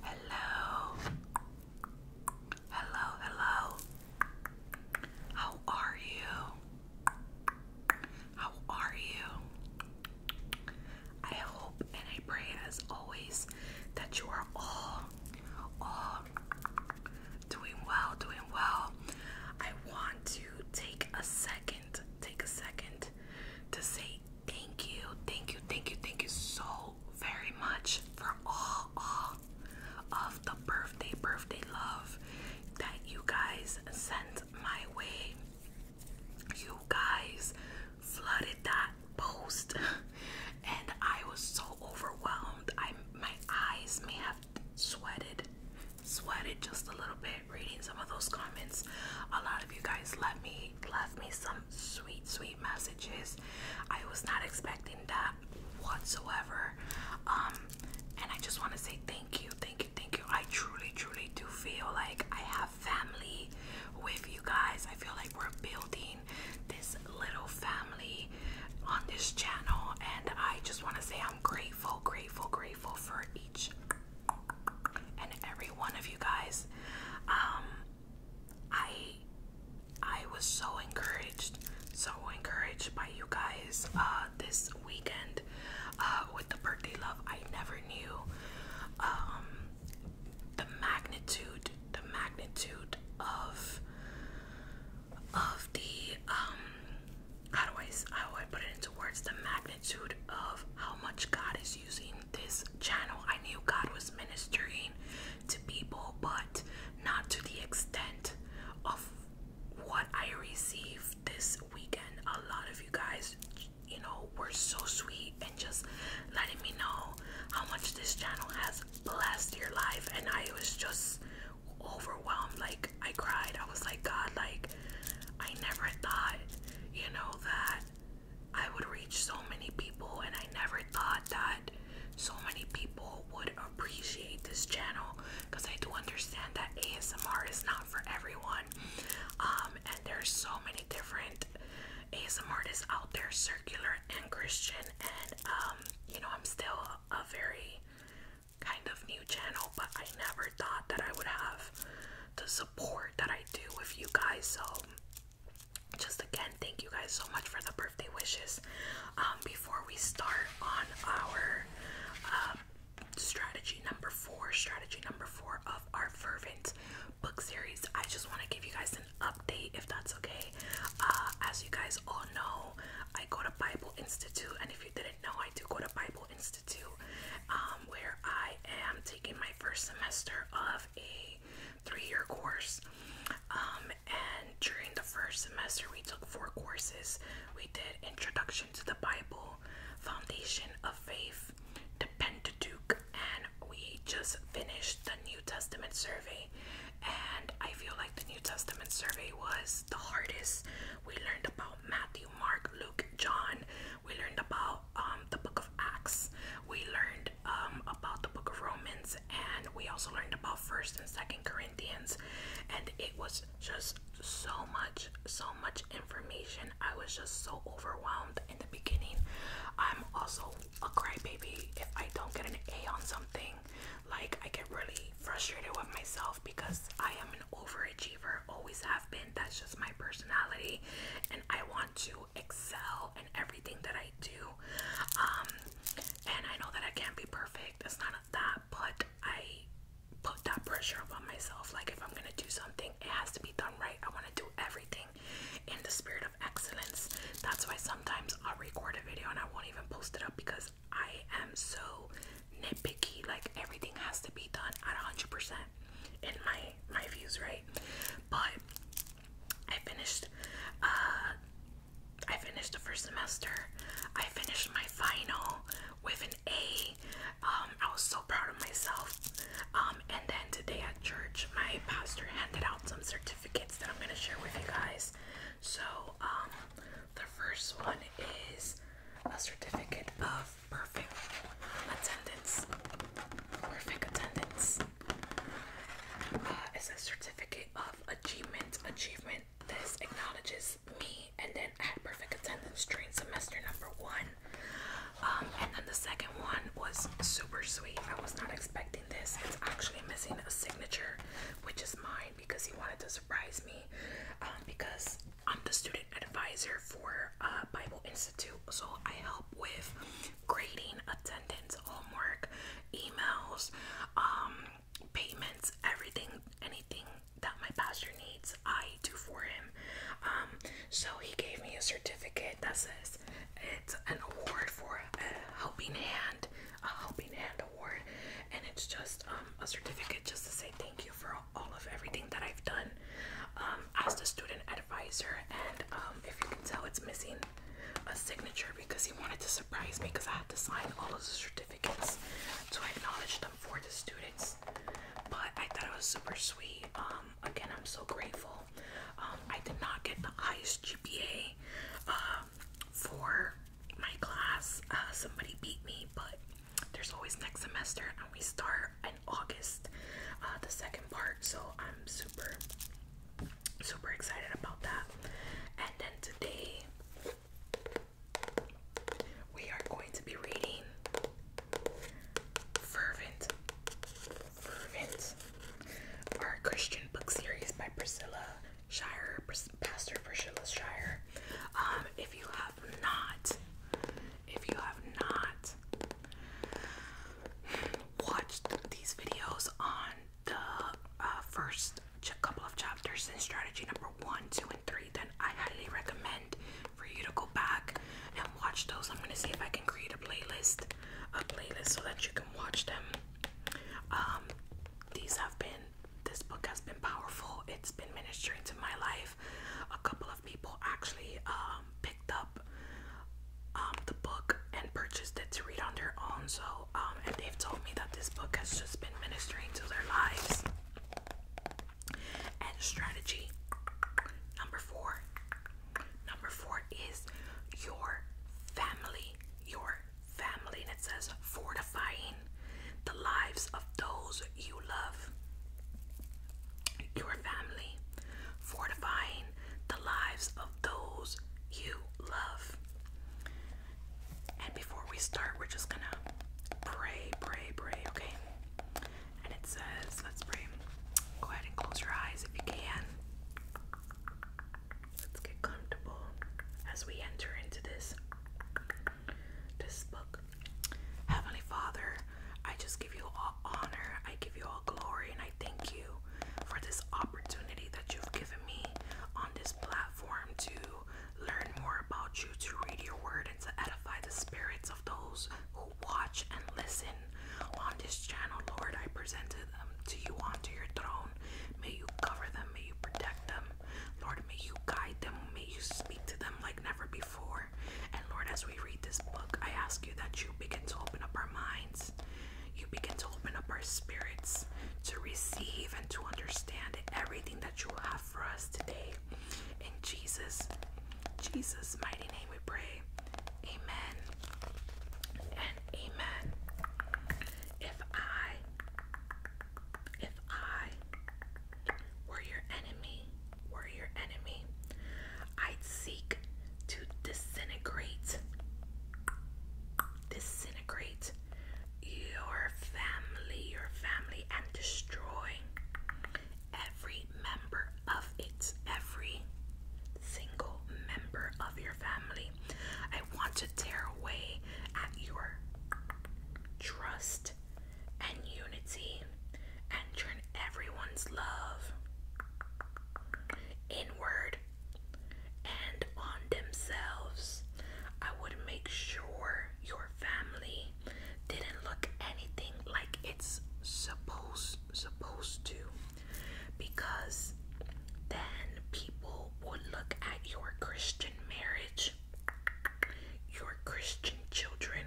Hello, hello, hello. How are you? How are you? I hope and I pray, as always, that you are all, all doing well, doing well. I want to take a second take a second to say thank you, thank you, thank you, thank you so very much for all, all of the birthday, birthday love that you guys sent my way. You guys flooded that post, and I was so overwhelmed. I my eyes may have sweated, sweated just a little bit reading some of those comments. A lot of you guys left me left me some sweet, sweet messages. I was not expecting that whatsoever. Um, and I just want to say thank you, thank you, thank you. I truly, truly do feel like I have family with you guys. I feel like we're building this little family on this channel, and I just want to say I'm grateful, grateful, grateful for each and every one of you guys. Um, I I was so encouraged, so encouraged by you guys uh, this weekend uh, with the birthday love. I never knew um, the magnitude, the magnitude of of the um, how do I how do I put it into words the magnitude of how much God is using this channel. I knew God was ministering to people, but not to the extent of what I received this weekend. A lot of you guys, you know, were so sweet and just letting me know how much this channel has blessed your life, and I was just overwhelmed. Like I cried. I was like, God, like I never thought, you know, that I would reach so many people and I never thought that so many people would appreciate this channel because I do understand that ASMR is not for everyone. Um, and there's so many different ASMR artists out there, circular and Christian and um, you know, I'm still a very kind of new channel, but I never thought that I would have the support that I do with you guys. So, just again, thank you guys so much for the birthday wishes. Um, before we start on our uh, strategy number four, strategy number four of our fervent book series, I just want to give you guys an update if that's okay. Uh, as you guys all know, I go to Bible Institute, and if you didn't no, I do go to Bible Institute, um, where I am taking my first semester of a three-year course. Um, and during the first semester, we took four courses. We did Introduction to the Bible, Foundation of Faith, the Pentateuch, and we just finished the New Testament survey. And I feel like the New Testament survey was the hardest. We learned about Matthew. Mark, Luke, John. We learned about um, the book of Acts. We learned um, about the book of Romans, and we also learned about First and Second Corinthians. And it was just so much, so much information. I was just so overwhelmed in the beginning. I'm also a crybaby. If I don't get an A on something, like I get really frustrated with myself because I am an overachiever always have been. That's just my personality, and I want to excel in everything that I do. Um, and I know that I can't be perfect, it's not that, but I put that pressure upon myself. Like, if I'm gonna do something, it has to be done right. I want to do everything in the spirit of excellence. That's why sometimes I'll record a video and I won't even post it up because I am so nitpicky. Like, everything has to be done at 100% in my my views, right? But I finished uh I finished the first semester. I finished my final with an A. Um, I was so proud of myself. Um, and then today at church, my pastor handed out some certificates that I'm gonna share with you guys. So, um, the first one is a certificate of perfect attendance. Perfect attendance. Uh, it's a certificate of achievement. Achievement. This acknowledges me, and then I had perfect attendance during semester number one. Um, and then the second one was super sweet. I was not expecting this. It's actually missing a signature, which is mine because he wanted to surprise me. Um, because I'm the student advisor for uh, Bible Institute, so I help with grading, attendance, homework, emails, um, payments, everything, anything that my pastor needs, I do for him. Um, so he gave me a certificate that says it's an award for a helping hand, a helping hand award, and it's just um, a certificate just to say thank you for all of everything that I've done um, as the student advisor. And um, if you can tell, it's missing a signature because he wanted to surprise me because I had to sign all of the certificates to acknowledge them for the students. But I thought it was super sweet. Um, again, I'm so grateful. I did not get the highest GPA for my class. Uh, somebody beat me, but there's always next semester, and we start in August, uh, the second part. So I'm super, super excited about that. And then today, we are going to be reading Fervent, Fervent, our Christian book series by Priscilla. Shire, Pastor Priscilla Shire. Um, if you have not, if you have not watched these videos on the uh, first couple of chapters in strategy number one, two, and three, then I highly recommend for you to go back and watch those. I'm gonna see if I can create a playlist, a playlist so that you can watch them. Um, these have been. This book has been powerful. It's been ministering to my life. A couple of people actually um, picked up um, the book and purchased it to read on their own. So, um, and they've told me that this book has just been ministering to their lives. And strategy number four. Number four is your family. Your family, and it says fortifying the lives of those you love, your family, fortifying the lives of those you love. And before we start, we're just gonna pray, pray, pray, okay? And it says, let's pray. Go ahead and close your eyes if you can. Let's get comfortable as we enter into this this book. Heavenly Father, I just give you all honor, I give you all glory, and I thank you for this opportunity that you've given me on this platform to learn more about you, to read your word, and to edify the spirits of those who watch and listen on this channel. Lord, I presented them um, to you onto your throne. May you cover them, may you protect them. Lord, may you guide them, may you speak to them like never before. And Lord, as we read this book, I ask you that you begin to open up our minds, you begin to open up our spirits to receive and to understand everything that you have for us today. In Jesus, Jesus' mighty name we pray. Amen and amen. If I if I were your enemy, were your enemy, I'd seek to disintegrate, disintegrate your family, your family, and destroy every member of it, every single member of your family. I want to tear away at your trust and unity and turn everyone's love inward and on themselves. I would make sure your family didn't look anything like it's supposed supposed to because then people would look at your Christian marriage, your Christian children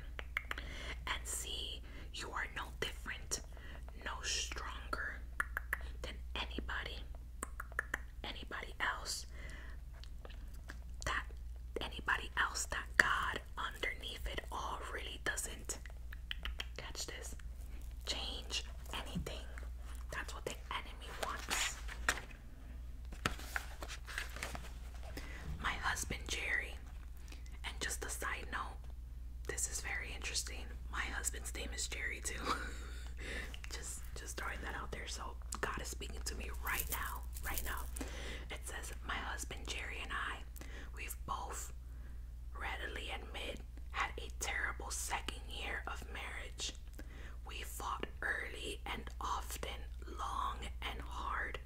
and see you are no different, no stronger than anybody, anybody else. That anybody else, that God underneath it all really doesn't catch this. Change anything. That's what the enemy wants. My husband Jerry, and just a side note, this is very interesting. My husband's name is Jerry too. just just throwing that out there. So God is speaking to me right now. Right now. It says, My husband Jerry and I, we've both readily admit had a terrible second year of marriage. We fought early and often, long and hard.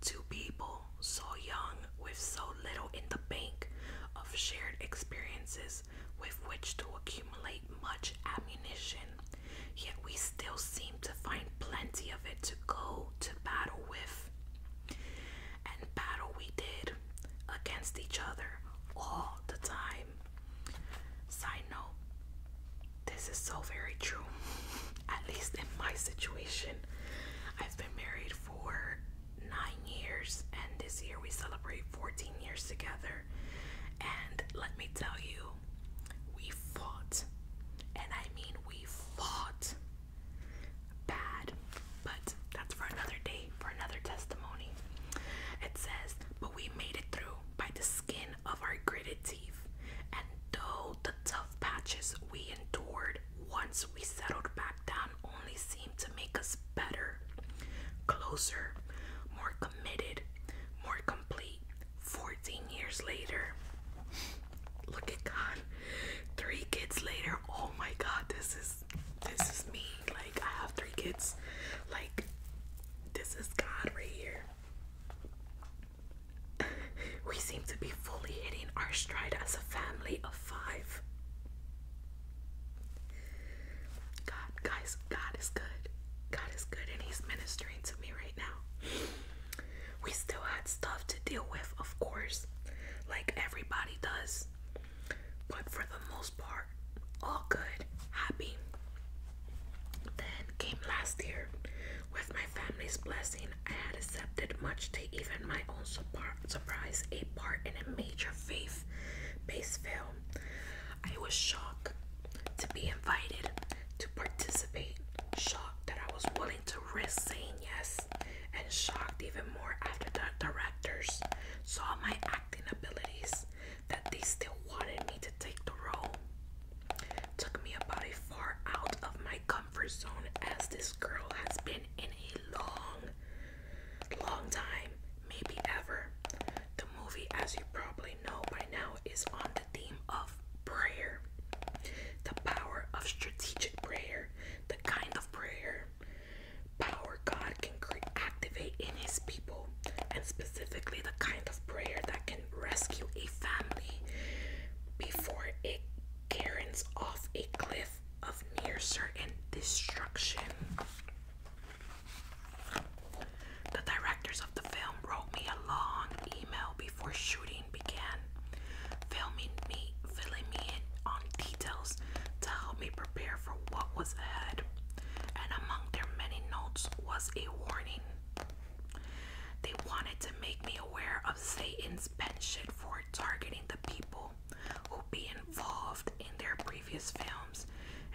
Two people so young, with so little in the bank of shared experiences with which to accumulate much ammunition, yet we still seem to find plenty of it to go to battle with. And battle we did against each other all the time. Side note, this is so very true. at least in my situation. I've been married for nine years, and this year we celebrate 14 years together. And let me tell you, we fought, and I mean, we fought bad, but that's for another day, for another testimony. It says, But we made it through by the skin of our gritted teeth, and though the tough patches we endured once we settled back down only seemed to make us better, closer, more committed, more complete. 14 years later. Look at God. Three kids later. Oh my god, this is this is me. Like I have three kids. Like this is God right here. we seem to be fully hitting our stride as a family of five. God, guys, God is good. God is good, and He's ministering to me right now. We still had stuff to deal with, of course, like everybody does. But for the most part, all good, happy. Then came last year with my family's blessing I had accepted, much to even my own surprise, a part in a major faith based film. I was shocked to be invited to participate, shocked that I was willing to risk saying yes, and shocked even more after the directors saw my acting abilities that they still wanted me to take the role. Took me a a far out of my comfort zone as this girl has been in a long, long time, maybe ever. The movie, as you probably know by now, is on the theme of prayer the power of strategic prayer, the kind of prayer power God can activate in His people, and specifically the kind of prayer that can rescue a family before it. Karen's off a cliff of near certain destruction. The directors of the film wrote me a long email before shooting began, filming me, filling me in on details to help me prepare for what was ahead. And among their many notes was a warning. They wanted to make me aware of Satan's penchant for targeting the people who be involved in their previous films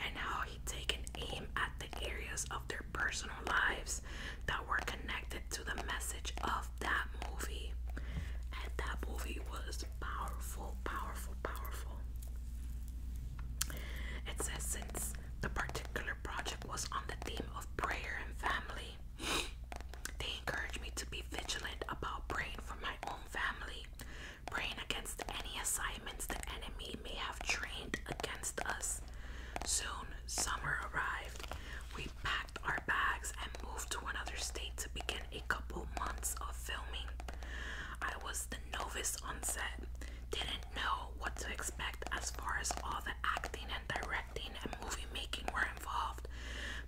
and how he taken aim at the areas of their personal lives that were connected to the message of that movie. And that movie was powerful, powerful, powerful. It says since the particular project was on the theme of prayer and family, they encourage me to be vigilant about praying for my own family, praying against any assignments the enemy may have trained against us. Soon, summer arrived. We packed our bags and moved to another state to begin a couple months of filming. I was the novice on set, didn't know what to expect as far as all the acting and directing directing and movie making were involved,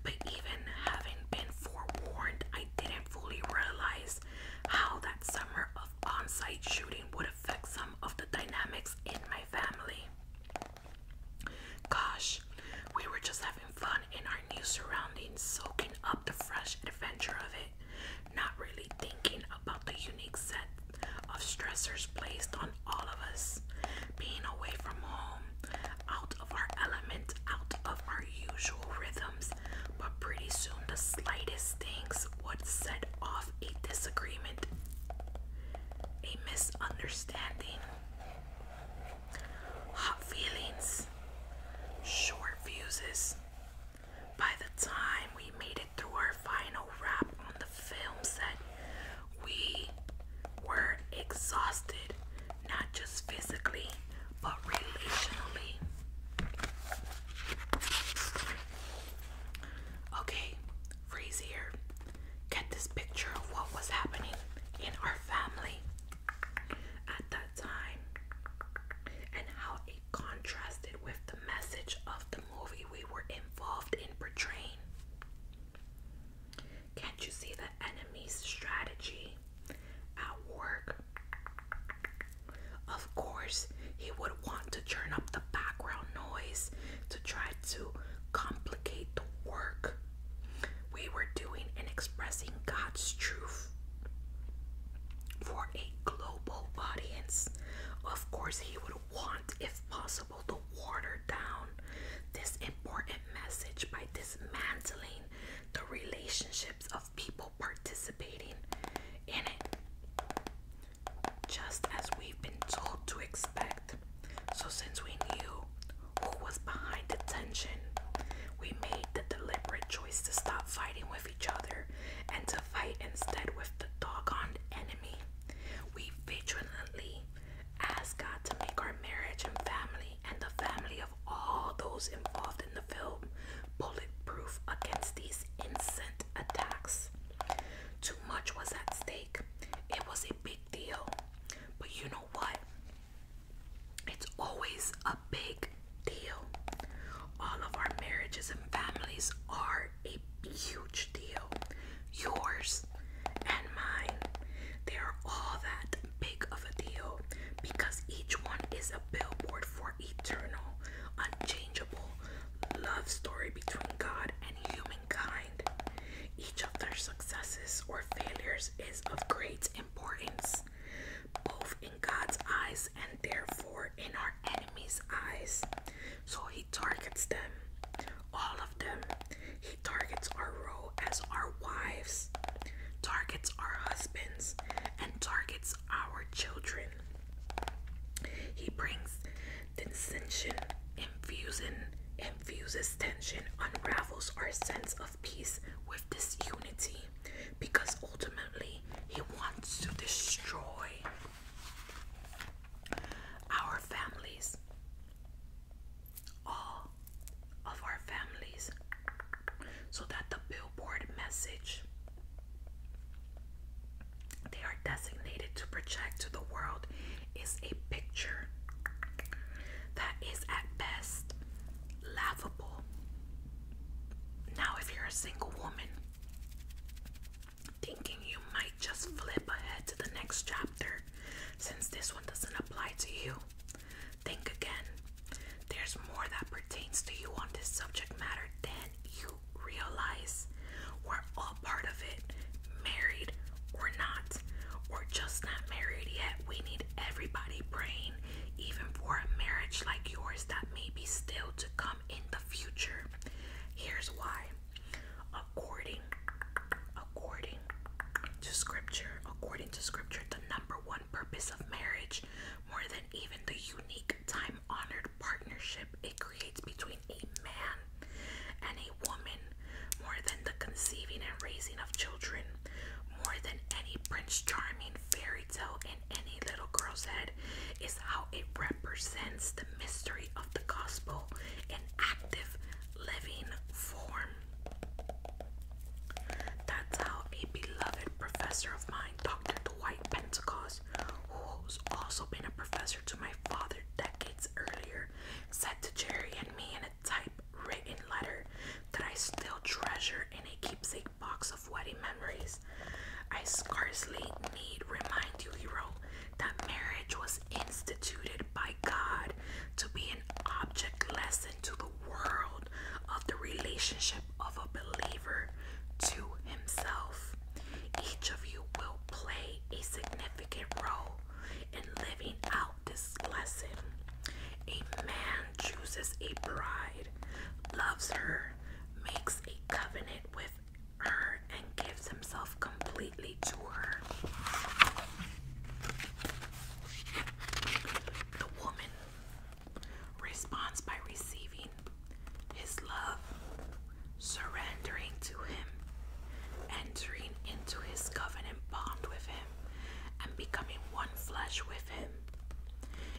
but even having been forewarned, I didn't fully realize how that summer of on site shooting would affect some of the dynamics in my family. Gosh, we were just having fun in our new surroundings, soaking up the fresh adventure of it, not really thinking about the unique set of stressors placed on all of us. Being away from home, out of our element, out of our usual rhythms, but pretty soon the slightest things would set off a disagreement, a misunderstanding, hot feelings, short fuses. By the time we made it through our final wrap on the film set, we were exhausted, not just physically, but relationally. Okay, freeze Get this picture of what was happening in our family at that time and how it contrasted with the message of the movie we were involved in portraying. Can't you see the enemy's strategy at work? Of course, he would want to turn up the background noise to try to complicate the work we were doing in expressing God's truth for a global audience. Of course, he would want, if possible, to water down this important message by dismantling the relationships of people participating in it, just as we've been told to expect. So, since we knew who was behind the tension, we made the deliberate choice to stop fighting with each other and to fight instead with the doggone enemy. We vigilantly Ask God to make our marriage and family and the family of all those involved in the film bulletproof against these incessant attacks. Too much was at stake. It was a big deal. But you know what? It's always a big deal. All of our marriages and families are a huge deal. Yours and mine, they're all that big of a deal because each one is a billboard for eternal, unchangeable love story between God and humankind. Each of their successes or failures is of great importance, both in God's eyes and therefore in our enemies' eyes. So he targets them, all of them, he targets our role as our wives, targets our husbands, and targets our children. He brings dissension, infusing, infuses tension, unravels our sense of peace with this unity, because ultimately he wants to destroy our families all of our families so that the billboard message they are designated to project to the world is a picture that is at best laughable. Now, if you're a single woman thinking you might just flip ahead to the next chapter, since this one doesn't apply to you, Think again. There's more that pertains to you on this subject matter than you realize. We're all part of it, married or not. or just not married yet. We need everybody praying, even for a marriage like yours that may be still to come in the future. Here's why. According, according to Scripture, according to Scripture, the number one purpose of marriage, more than even the unique, time honored partnership it creates between a man and a woman, more than the conceiving and raising of children, more than any Prince Charming fairy tale in any little girl's head, is how it represents the mystery of the gospel in active living form. That's how a beloved professor of mine, Dr. Dwight Pentecost, who's also been a professor to my father decades earlier, said to Jerry and me in a typewritten letter that I still treasure in a keepsake box of wedding memories. I scarcely need remind you, hero, that marriage was instituted by God to be an object lesson to the world of the relationship of a believer to himself. Each of you will play a significant role in living out this lesson. A man chooses a bride, loves her, makes a covenant with her, and gives himself completely to her. The woman responds by receiving his love, surrendering to him, entering into his covenant bond with him, and becoming one flesh with him.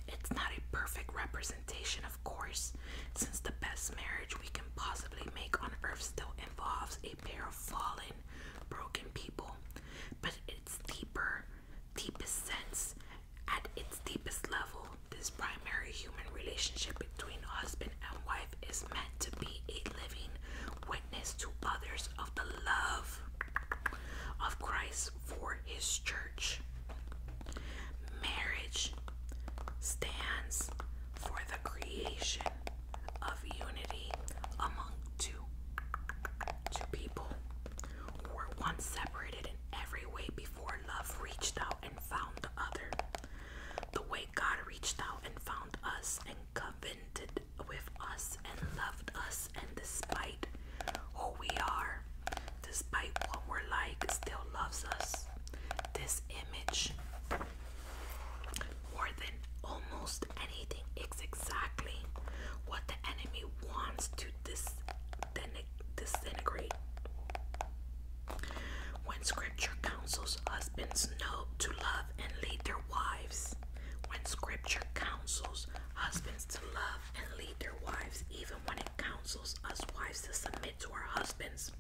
It's not a perfect representation, of course, since the best marriage we can possibly make on earth still involves a pair of fallen, broken people, but its deeper, deepest sense, at its deepest level, this primary human relationship between husband and wife is meant to be a living witness to others of the love of Christ for his church. Marriage stands for the creation of unity among two two people who were once separated in every way before love reached out and found the other. The way God reached out and found us and covenanted with us and loved us and despite who we are, despite what we're like, still loves us. This image more than almost anything. It's exactly what the enemy wants to dis disintegrate. When scripture counsels husbands to love and lead their wives, when scripture counsels husbands to love and lead their wives, even when it counsels us wives to submit to our husbands,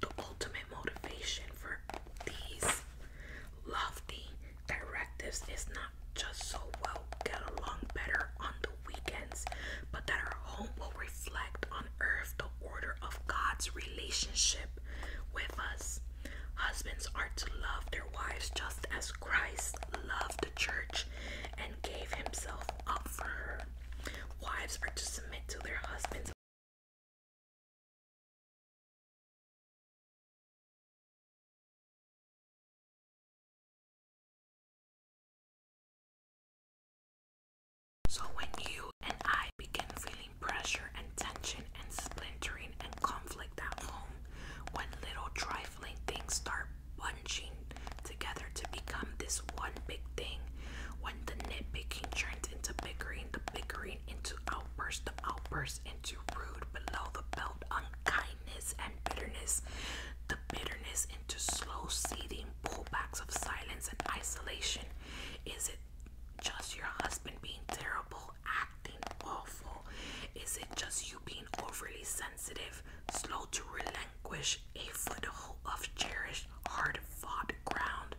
the ultimate motivation for these lofty directives is not just so well get along better on the weekends, but that our home will reflect on earth the order of God's relationship with us. Husbands are to love their wives just as Christ loved the church and gave himself up for her. Wives are to submit to their husbands so, when you and I begin feeling pressure and tension and splintering and conflict at home, when little trifling things start bunching together to become this one big thing, when the nitpicking turns into bickering, the bickering into outbursts, the outbursts into rude below the belt unkindness and bitterness, the bitterness into slow seeding pullbacks of silence and isolation. Is it just your husband being terrible, acting awful? Is it just you being overly sensitive, slow to relinquish a foothold of cherished, hard fought ground?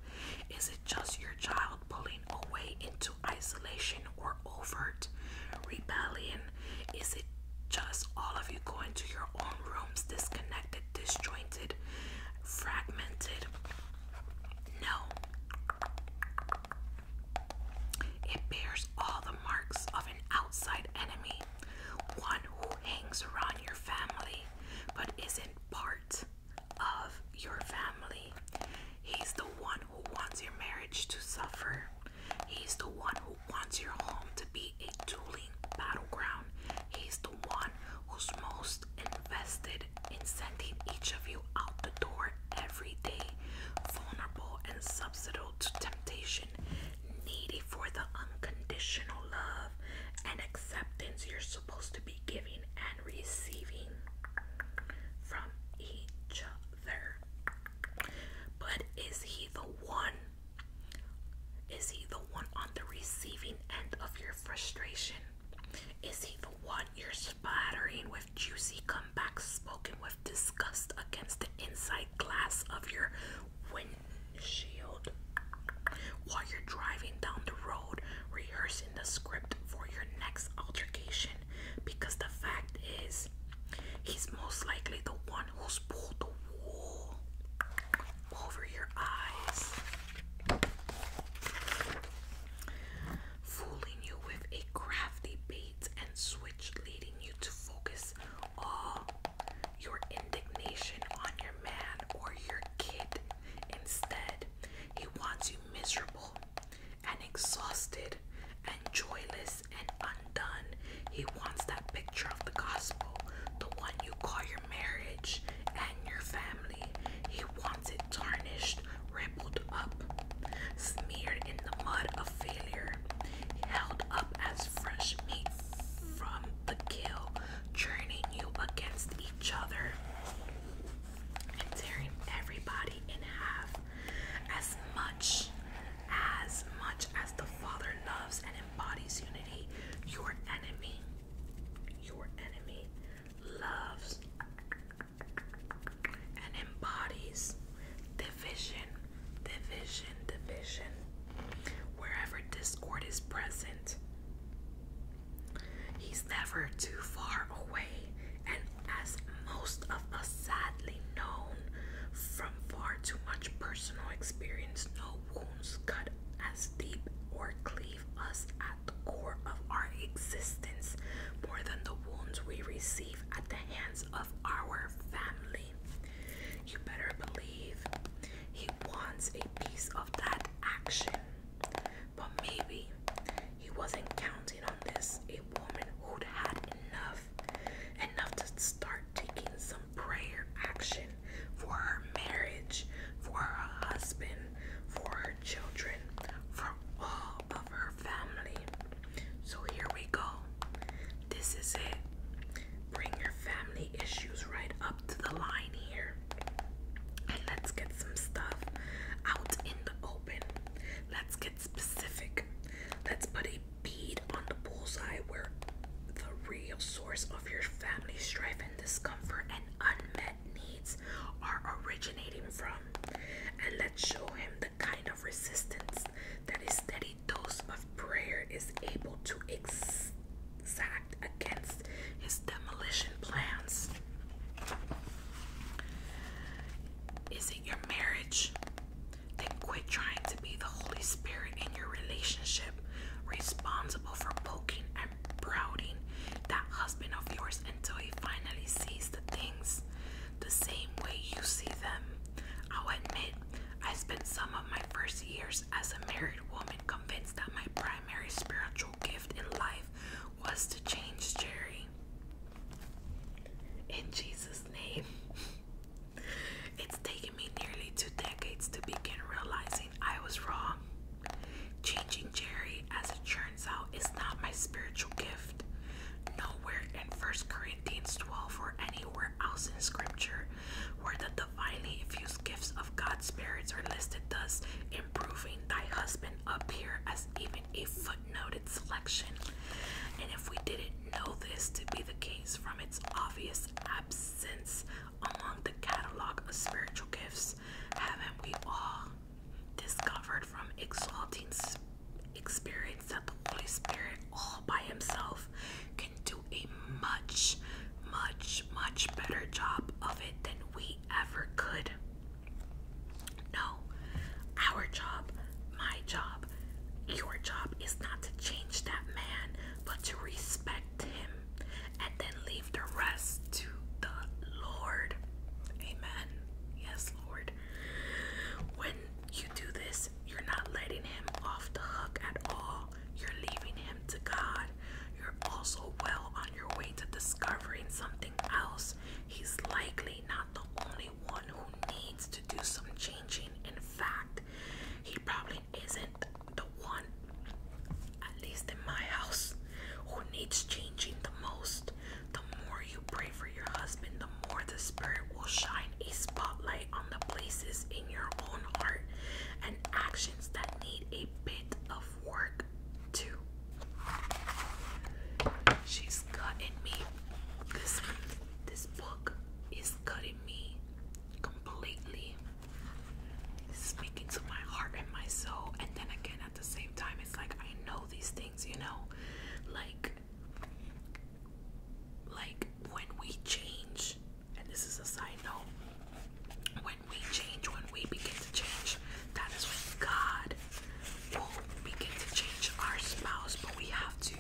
Is it just your child pulling away into isolation or overt rebellion? Is it just all of you going to your own rooms, disconnected, disjointed, fragmented? No. It bears all the marks of an outside enemy, one who hangs around your family but isn't part of your family. He's the one who wants your marriage to suffer. He's the one who wants your home to be a dueling battleground. He's the one who's most invested in sending each of you out the door every day, vulnerable and susceptible to temptation, needy for the unconditional love and acceptance you're supposed to be giving and receiving from each other. But is he the one? Is he the one on the receiving end of your frustration? Is he the one you're spattering with juicy comebacks spoken with disgust against the inside glass of your windshield while you're driving down the road rehearsing the script for your next altercation? because the fact is, he's most likely the one who's pulled the wool over your eyes, fooling you with a crafty bait and switch, leading you to focus all your indignation on your man or your kid. Instead, he wants you miserable and exhausted and joyless and undone. He wants that picture of the gospel, the one you call your marriage and your family. He wants it tarnished, rippled up, smeared in the mud of failure, held up as fresh meat from the kill, turning you against each other and tearing everybody in half. As much as much as the Father loves and embodies unity, your enemy, your enemy loves and embodies division, division, division. Wherever discord is present, he's never too far away as most of us sadly known from far too much personal experience, no wounds cut as deep or cleave us at the core of our existence more than the wounds we receive at the hands of our family. You better believe he wants a piece of that action, but maybe he wasn't counting on this. A woman who'd had enough, enough to start taking some prayer action for her marriage, for her husband, for her children, for all of her family. So here we go. This is it. Bring your family issues right up to the line here. And let's get some stuff out in the open. Let's get specific. Let's put a bead on the bullseye where the real source of your family strife and discomfort and unmet needs are originating from. And let's show him the kind of resistance that a steady dose of prayer is able to exact against his demolition plans. Is it your marriage? Then quit trying to be the Holy Spirit in your relationship, responsible for poking and prouding that husband of yours until he finally sees the things the same way you see them. I'll admit, I spent some of my first years as a married woman convinced that my primary spiritual gift in life was to change Jerry. In Jesus' name. it's taken me nearly two decades to begin realizing I was wrong. Changing Jerry, as it turns out, is not my spiritual gift. Nowhere in 1 Corinthians 12 or anywhere else in Scripture where the divinely infused gifts of God's spirits are listed, thus improving thy husband up as even a foot footnoted selection, and if we didn't know this to be the case from its obvious absence among the catalog of spiritual gifts, haven't we all discovered from exalting experience that the Holy Spirit all by himself can do a much, much, much better job of it than we ever could? No, our job, my job, your job is not to change that man, but to respect him and then leave the rest to the Lord. Amen. Yes, Lord. When you do this, you're not letting him off the hook at all. You're leaving him to God. You're also well on your way to discovering something else. He's likely not the only probably one who needs to do some changing. In fact, he probably isn't the one, at least in my house, who needs changing the most. The more you pray for your husband, the more the Spirit will shine a spotlight on the places in your own heart and actions that need a bit of work, too. She's cutting me this week. This book is cutting me completely. Speaking to my heart and my soul, and then again at the same time, it's like I know these things, you know, like like when we change, and this is a side note, when we change, when we begin to change, that is when God will begin to change our spouse, but we have to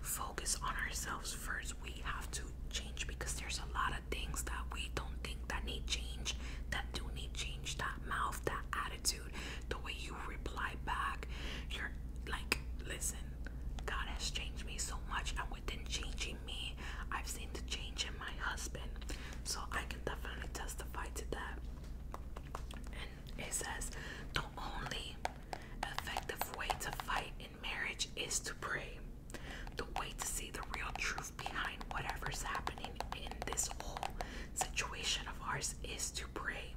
focus on ourselves first. We have to change because there's a lot of things that we don't think that need change, that do need change. That mouth, that attitude, the way you reply back. You're like, listen, God has changed me so much, and within changing me, I've seen the change in my husband. So I can definitely testify to that. And it says, don't only effective way to fight in marriage is to pray. The way to see the real truth behind whatever's happening in this whole situation of ours is to pray.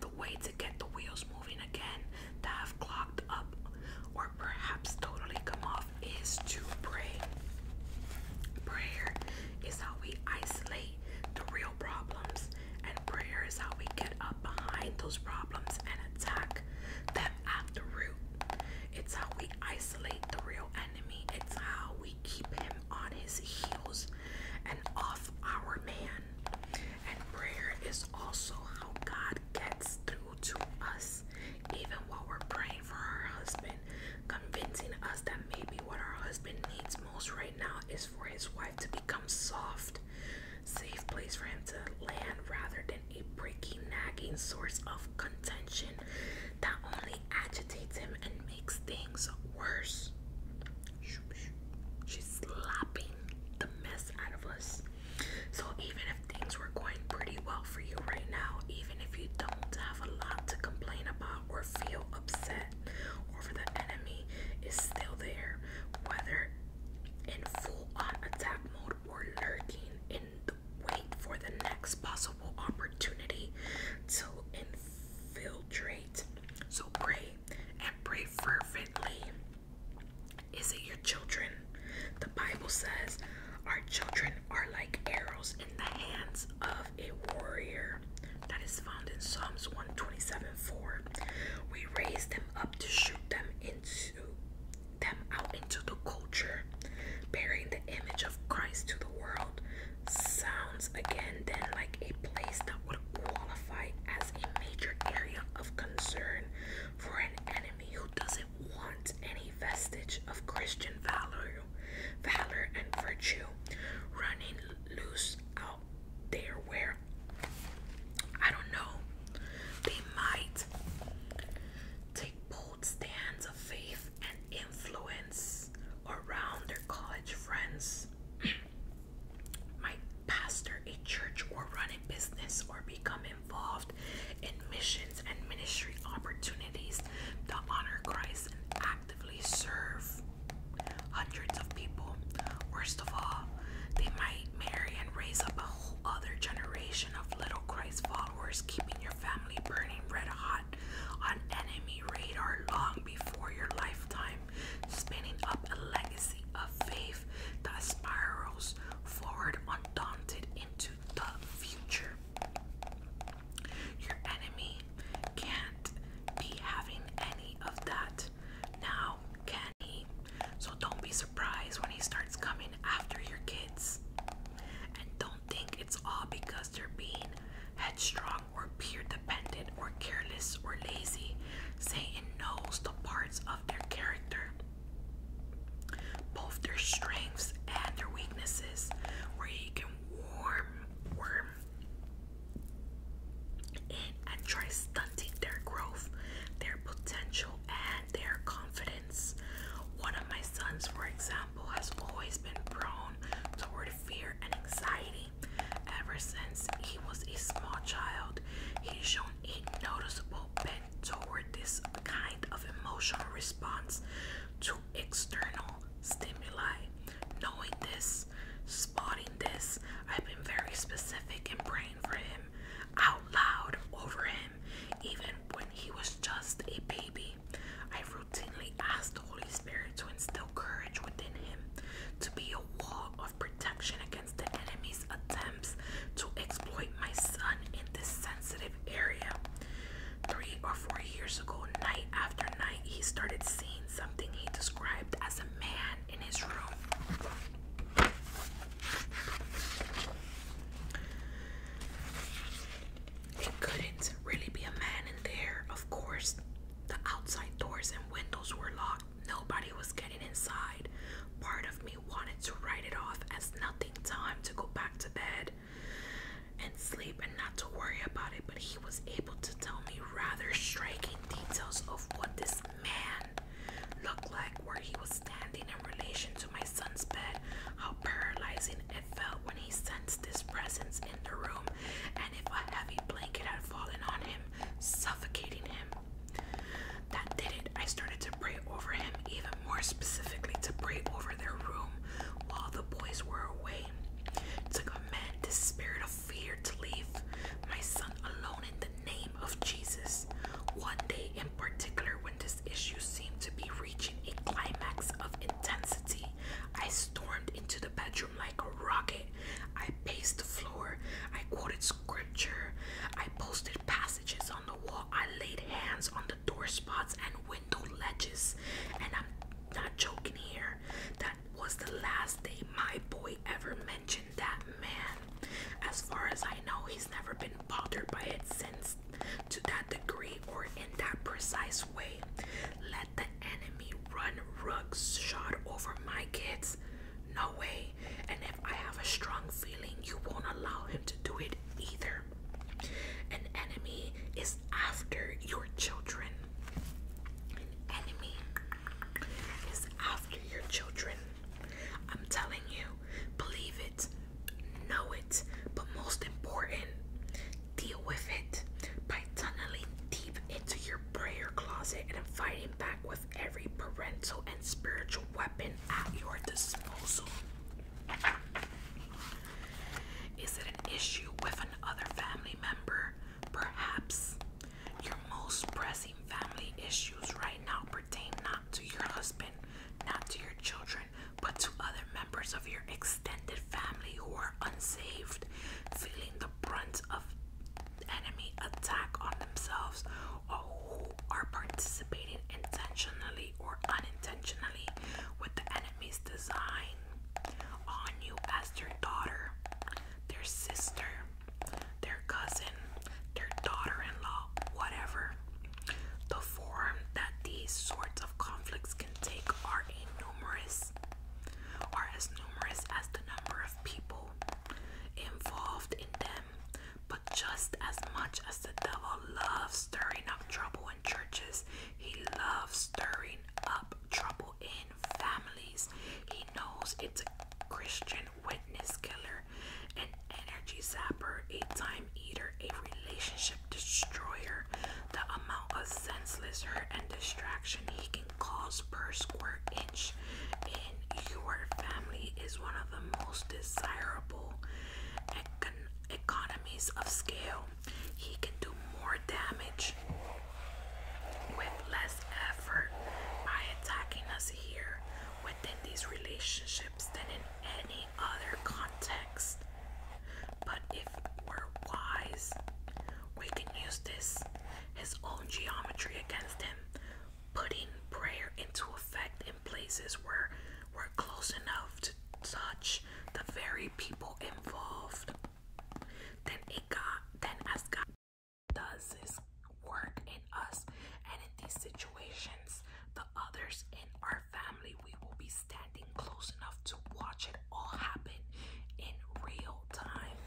The way to get the wheels moving again that have clogged up or perhaps totally come off is to pray. Prayer is how we isolate the real problems and prayer is how we get up behind those problems and attack them at the root. It's how we isolate the real enemy. It's how we keep him on his heels and off our man. And prayer is also how God gets through to us, even while we're praying for our husband, convincing us that maybe what our husband needs most right now is for his wife to become soft safe place for him to land rather than a breaking, nagging source of contention that only agitates him and makes things worse. She's slapping the mess out of us. So, even if things were going pretty well for you right now, even if you don't have a lot to complain about or feel upset over, the enemy is still there, whether in full-on attack mode or lurking in the wait for the next possible opportunity to infiltrate. So pray and pray fervently. Is it your children? The Bible says our children are like arrows in the hands of a warrior. That is found in Psalms 127 4. We raise them up to shoot them into them out into the culture, bearing the image of Christ to the world. Sounds again then like a place that would qualify as a major area of concern for an enemy who doesn't want any vestige of Christian valor, valor and virtue running loose out out there where I don't know, they might take bold stands of faith and influence around their college friends. might pastor a church or run a business or become involved in missions and ministry opportunities to honor Christ and actively serve hundreds of people. Worst of all, they might marry and raise up a whole other generation of little Christ followers, keeping your family burning red hot on enemy radar long before your lifetime, spinning up a legacy of faith that spirals forward undaunted into the future. Your enemy can't be having any of that. Now can he? So don't be surprised when he starts coming after your kids. And don't think it's all because they're being headstrong or peer dependent or careless or lazy. Satan knows the parts of their character, both their strengths and their weaknesses, where he can warm, worm and try stunting their growth, their potential, and their confidence. One of my sons, for example, has always been prone toward fear and anxiety. Ever since he was a small child, he's shown a noticeable bent toward this kind of emotional response to external stimuli. Knowing this, spotting this, I've been very specific in bringing for him out loud over him, even when he was just a baby. I routinely asked the Holy Spirit to instill courage within him, to be a wall of protection against the enemy's attempts to exploit my son in this sensitive area. Three or four years ago, night after night, he started seeing something he described as a man in his room. It couldn't really be a man in there, of course. The outside doors and windows were locked. Nobody was getting inside. Part of me wanted to write it off as nothing time to go back to bed and sleep and not to worry about it, but he was able to tell me rather striking details of what this man looked like where he was standing in relation to my son's bed, how paralyzing it felt when he sensed this presence in the room, and if a heavy blanket had fallen on him, suffocating him. That did it. I started to pray over him, even more specifically to pray over their room while the boys were away. To command this spirit of fear to leave my son alone in name of Jesus. One day in particular, when this issue seemed to be reaching a climax of intensity, I stormed into the bedroom like a rocket. I paced the floor, I quoted scripture, I posted passages on the wall, I laid hands on the door spots and window ledges, and I'm not joking here. That was the last day my boy ever mentioned that man. As far as I know, he's never been bothered by it since to that degree or in that precise way. Let the enemy run rugs shot over my kids. No way. And if I have a strong feeling, you won't allow him to do it either. An enemy is after your children. An enemy is after your children. I'm telling you, believe it, know it, but most important, deal with it by tunneling deep into your prayer closet and fighting back with every parental and spiritual weapon at your disposal. Is it an issue with another family member? Perhaps. Your most pressing family issues right now pertain not to your husband, not to your children, but to other members of your extended family who are unsaved, feeling the brunt of enemy attack on themselves, or who are participating intentionally or unintentionally with the enemy's design on you as their daughter, their sister, their cousin, their daughter in law, whatever. The form that these sorts of conflicts can take are a are as numerous as the number of people involved in them, but just as much as the devil loves stirring up trouble in churches, he loves stirring up trouble in families. He knows it's a Christian witness killer, an energy zapper, a time eater, a relationship destroyer. The amount of senseless hurt and distraction he can cause per square inch in your family is one of the most desirable economies of scale. He can do more damage with less effort by attacking us here within these relationships than in any other context. But if we're wise, we can use this, his own geometry against him, putting prayer into effect in places where we're close enough to touch the very people involved. Then it got then as does this work in us and in these situations, the others in our family, we will be standing close enough to watch it all happen in real time.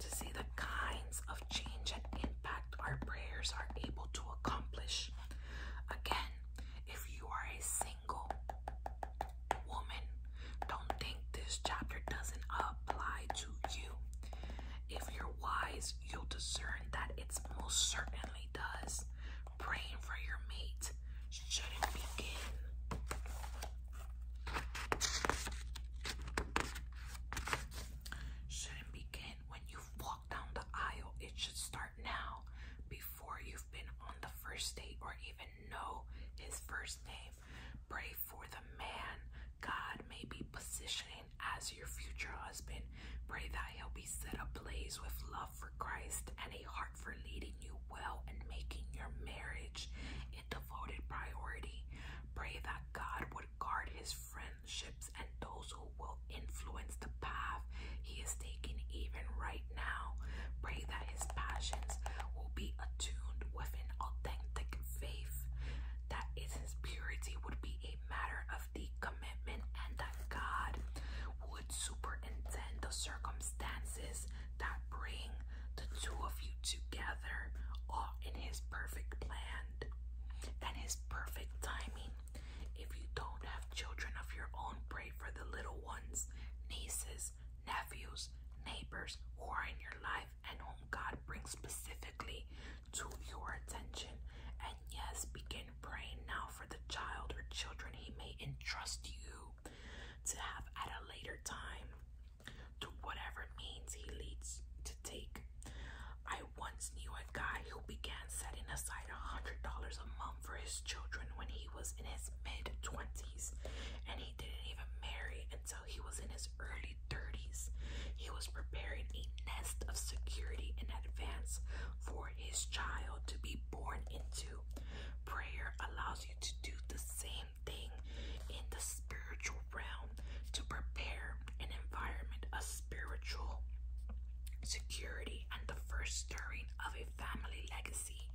To see the kinds of change and impact our prayers are able to accomplish. Again, if you are a single woman, don't think this chapter doesn't apply to you. If you're wise, you'll discern that it most certainly does. Praying for your mate shouldn't begin. Shouldn't begin when you've down the aisle. It should start now, before you've been on the first date or even know his first name. Pray for the man God may be positioning as your future husband. Pray that he'll be set ablaze with love for Christ and a heart for leading you well and making your marriage a devoted priority. Pray that God would guard his friendships and those who will influence the path he is taking even right now. Pray that his passions will be attuned with an authentic faith, that is his purity would be a matter of the commitment and that God would superintend the circumstances that bring the two of you together, all in His perfect plan and His perfect timing. If you don't have children of your own, pray for the little ones, nieces, nephews, neighbors who are in your life and whom God brings specifically to your attention. And yes, begin praying now for the child or children He may entrust you to have at a later time, through whatever means He leads to take. I once knew a guy who began setting aside $100 a month for his children when he was in his mid 20s, and he didn't even marry until he was in his early 30s. He was preparing a nest of security in advance for his child to be born into. Prayer allows you to do the same thing in the spiritual realm to prepare an environment a spiritual security and the first stirring of a family legacy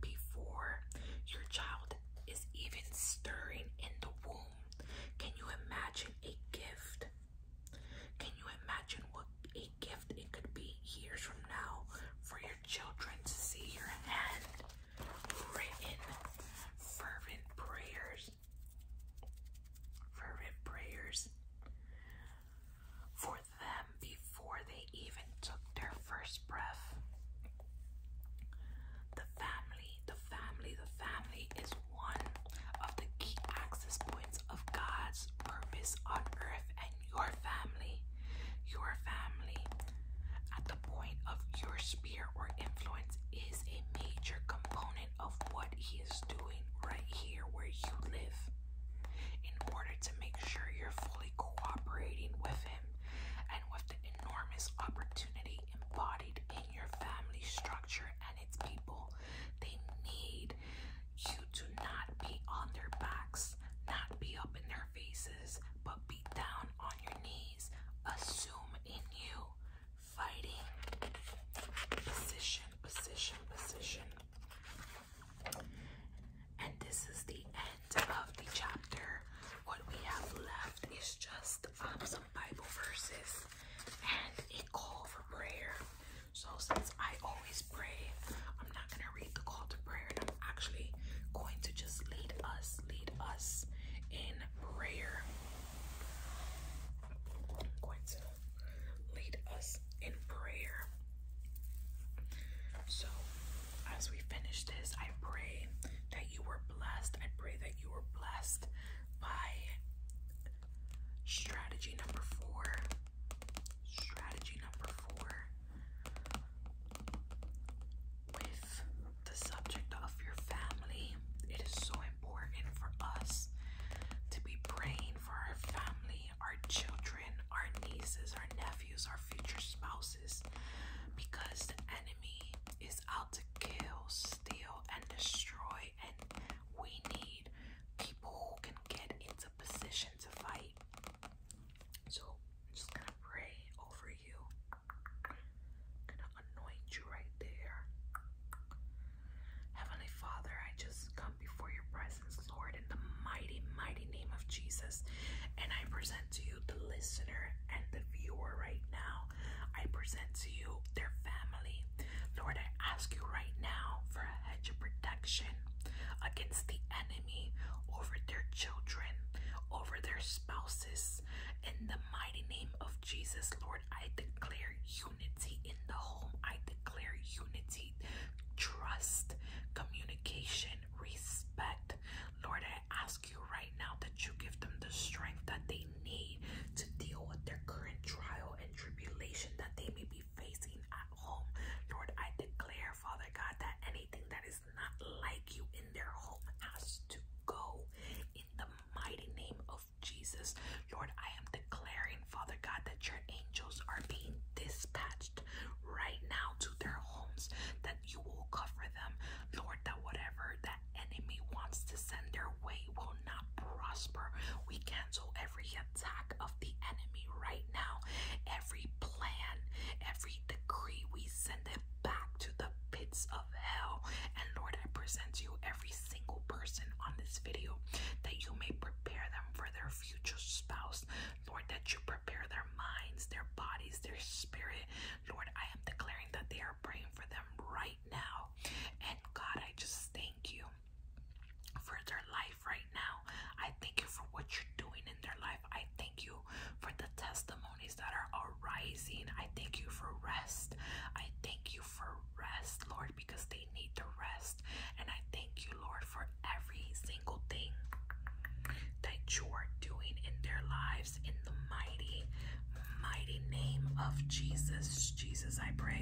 before your child is even stirring in the womb. Can you imagine a gift can you imagine what a gift it could be years from now for your children to see your hand written fervent prayers? Fervent prayers for them before they even took their first breath. The family, the family, the family is one of the key access points of God's purpose on earth and your family. Your family at the point of your sphere or influence is a major component of what He is doing right here where you live. In order to make sure you're fully cooperating with Him and with the enormous opportunity embodied in your family structure and its people, they need you to not be on their backs, not be up in their faces, but be down on your knees. Assume in you fighting position, position, position. And this is the end of the chapter. What we have left is just um, Bible verses and a call for prayer. So since I always pray, I'm not gonna read the call to prayer, and I'm actually going to just lead us, lead us in prayer. going to lead us in prayer. So as we finish this, I pray that you were blessed. I pray that you were blessed by Strategy number four. Strategy number four. With the subject of your family, it is so important for us to be praying for our family, our children, our nieces, our nephews, our future spouses, because the enemy is out to kill, steal, and destroy, and we need people who can get into position to fight. So I'm just gonna pray over you. gonna anoint you right there. Heavenly Father, I just come before your presence, Lord, in the mighty, mighty name of Jesus. And I present to you the listener and the viewer right now. I present to you their family. Lord, I ask you right now for a hedge of protection against the enemy over their children, over their spouses. In the mighty name of Jesus, Lord, I declare unity in the home. I declare unity, trust, communication, respect. Lord, I ask you right now that you give them the strength that they need to deal with their current trial tribulation that they may be facing at home. Lord, I declare, Father God, that anything that is not like you in their home has to go in the mighty name of Jesus. Lord, I am declaring, Father God, that your angels are being dispatched right now to their homes, that you will cover them. Lord, that whatever that enemy wants to send their way will not prosper. We cancel every attack of the enemy right now. Every plan, every decree, we send it back to the pits of hell. And Lord, I present you every single person on this video that you may prepare them for their future spouse. Lord, that you prepare their minds, their bodies, their spirit. Lord, I am declaring that they are praying for them right now. And God, I just thank you for their life right now. I thank you for what you're doing in their life. I thank you for the testimonies that are arising. I thank you for rest. I thank you for rest, Lord, because they need the rest. And I thank you, Lord, for every single thing that you are doing in their lives in the mighty, mighty name of Jesus. Jesus, I pray.